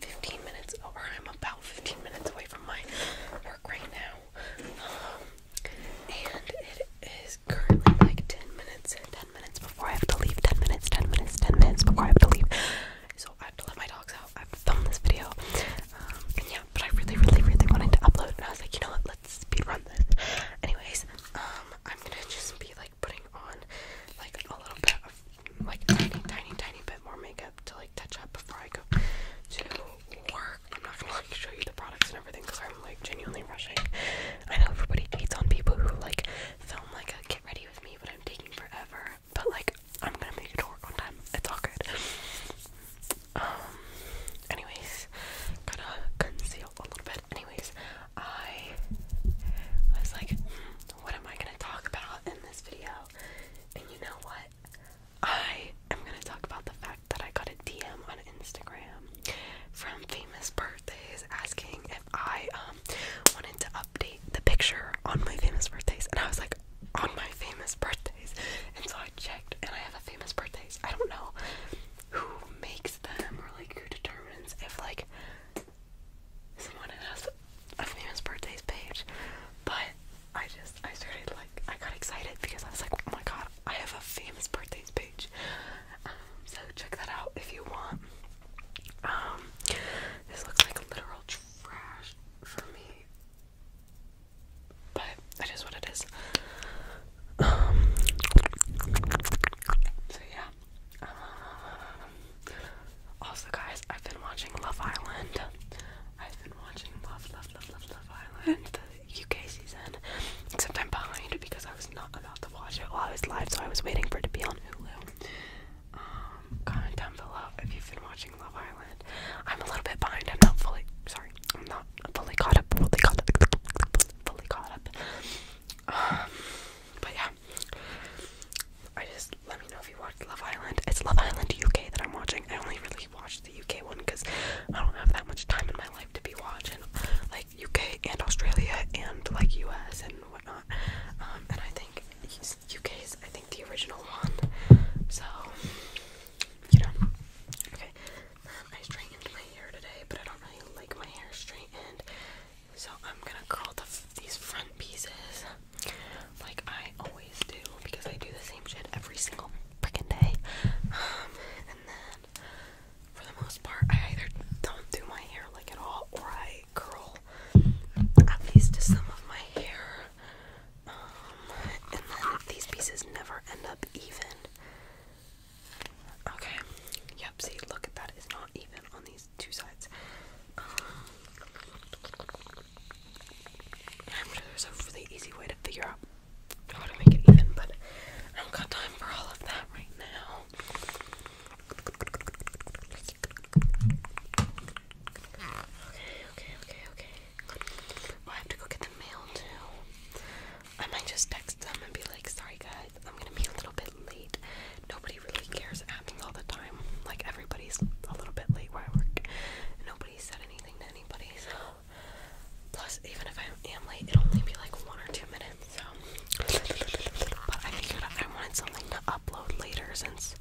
15 minutes, or I'm about 15 minutes away from my work right now. Um, and it is currently like 10 minutes, 10 minutes before I have to leave, 10 minutes, 10 minutes, 10 minutes before I have to leave. So I have to let my dogs out. I have to film this video. Um, yeah, but I really, really, really wanted to upload, and I was like, you know what, let's speed run this. Anyways, um, I'm gonna just be like, putting on like a little bit like tiny, tiny, tiny bit more makeup to like touch up before I go to work. I'm not gonna like show you the products and everything because I'm like genuinely rushing. I know everybody hates on people who like film like a get ready with me, but I'm taking forever. But like I'm gonna make it to work on time. It's all good. Um. Anyways, gonna conceal a little bit. Anyways, I was like, hmm, what am I going to talk about in this video? And you know what? I am going to talk about the fact that I got a DM on Instagram from Famous Birthdays asking if I um, wanted to update the picture on my Famous Birthdays. And I was like, on my Famous Birthdays? And so I checked and I have a Famous Birthdays. I don't know who makes them or like who determines if like someone has a famous birthdays page, but I just I started like I got excited because I was like, oh my god, I have a famous birthdays page. Um, so check that out if you want. Um, this looks like literal trash for me, but that is what it is. Um, so yeah, also, guys, I've been watching Love Island. I've been watching Love, Love, Love, Love, Island, the UK season. Except I'm behind because I was not about to watch it while I was live, so I was waiting for it to be on Hulu. Um, comment down below if you've been watching Love Island. I'm a little bit behind. I'm not fully sorry. I'm not fully caught up. Fully caught up. Fully caught up. Um, but yeah, I just let me know if you watched Love Island. It's Love Island UK that I'm watching. I only really watch the UK one because I don't have that much time in my life to be watching like UK and Australia and like US and whatnot. Um, and I think UK is I think the original one. So you know. Okay. Um, I straightened my hair today, but I don't really like my hair straightened. So I'm gonna curl these front pieces like I always do because I do the same shit every single freaking day. Um, and then for the most part, I either don't do my hair like at all or I curl at least some of my hair. Um, and then these pieces never end up even. Okay. Yep, see, look at that. It's not even on these two sides. Um, I'm sure there's a really easy way to figure out how to make it even, but I don't got time for all of that right now. Okay, okay, okay, okay. I have to go get the mail too. I might just text them and be like, sorry guys, I'm gonna be a little bit late. Nobody really cares. It happens all the time. Like everybody's a little bit late where I work. Nobody said anything to anybody. So plus, even if I am late, it'll only be like one or two minutes. So, but I figured I wanted something to upload later since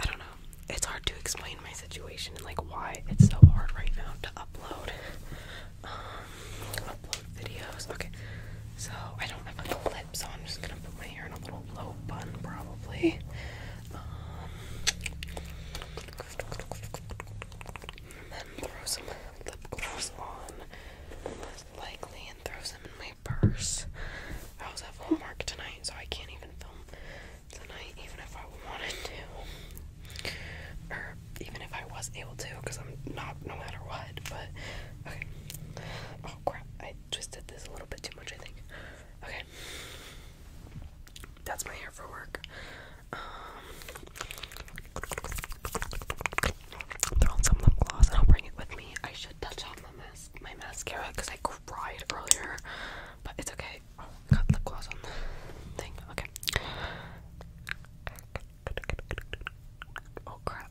I don't know. It's hard to explain my situation and like why it's so hard right now to upload. Um, upload videos. Okay, so I don't have a clip, so I'm just gonna put my hair in a little low bun probably. Um, then throw some lip gloss on, likely, and throw some in my purse. I was at Walmart tonight, so I can't even film tonight, even if I wanted to, or even if I was able to, because I'm not, no matter what. But okay. Oh crap! I twisted this a little bit too much, I think. Okay. That's my hair for work. Um, throw some lip gloss and I'll bring it with me. I should touch up my mask, my mascara, because I cried earlier, but it's okay. got lip gloss on the thing. Okay. Oh crap!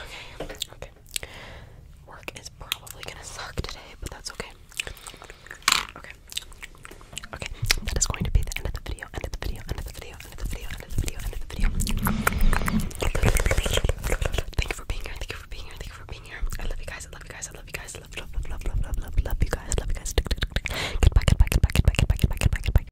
Okay, okay. Work is probably gonna suck today, but that's okay. Okay. Okay, that is going to be the end of the video, end of the video, end of the video, end of the video, end of the video, end of the video. Thank you for being here, thank you for being here, thank you for being here. I love you guys, I love you guys, I love you guys, love, love, love, love, love, love, love, you guys, love you guys. Goodbye, goodbye, goodbye, goodbye, goodbye, goodbye, goodbye, goodbye, goodbye.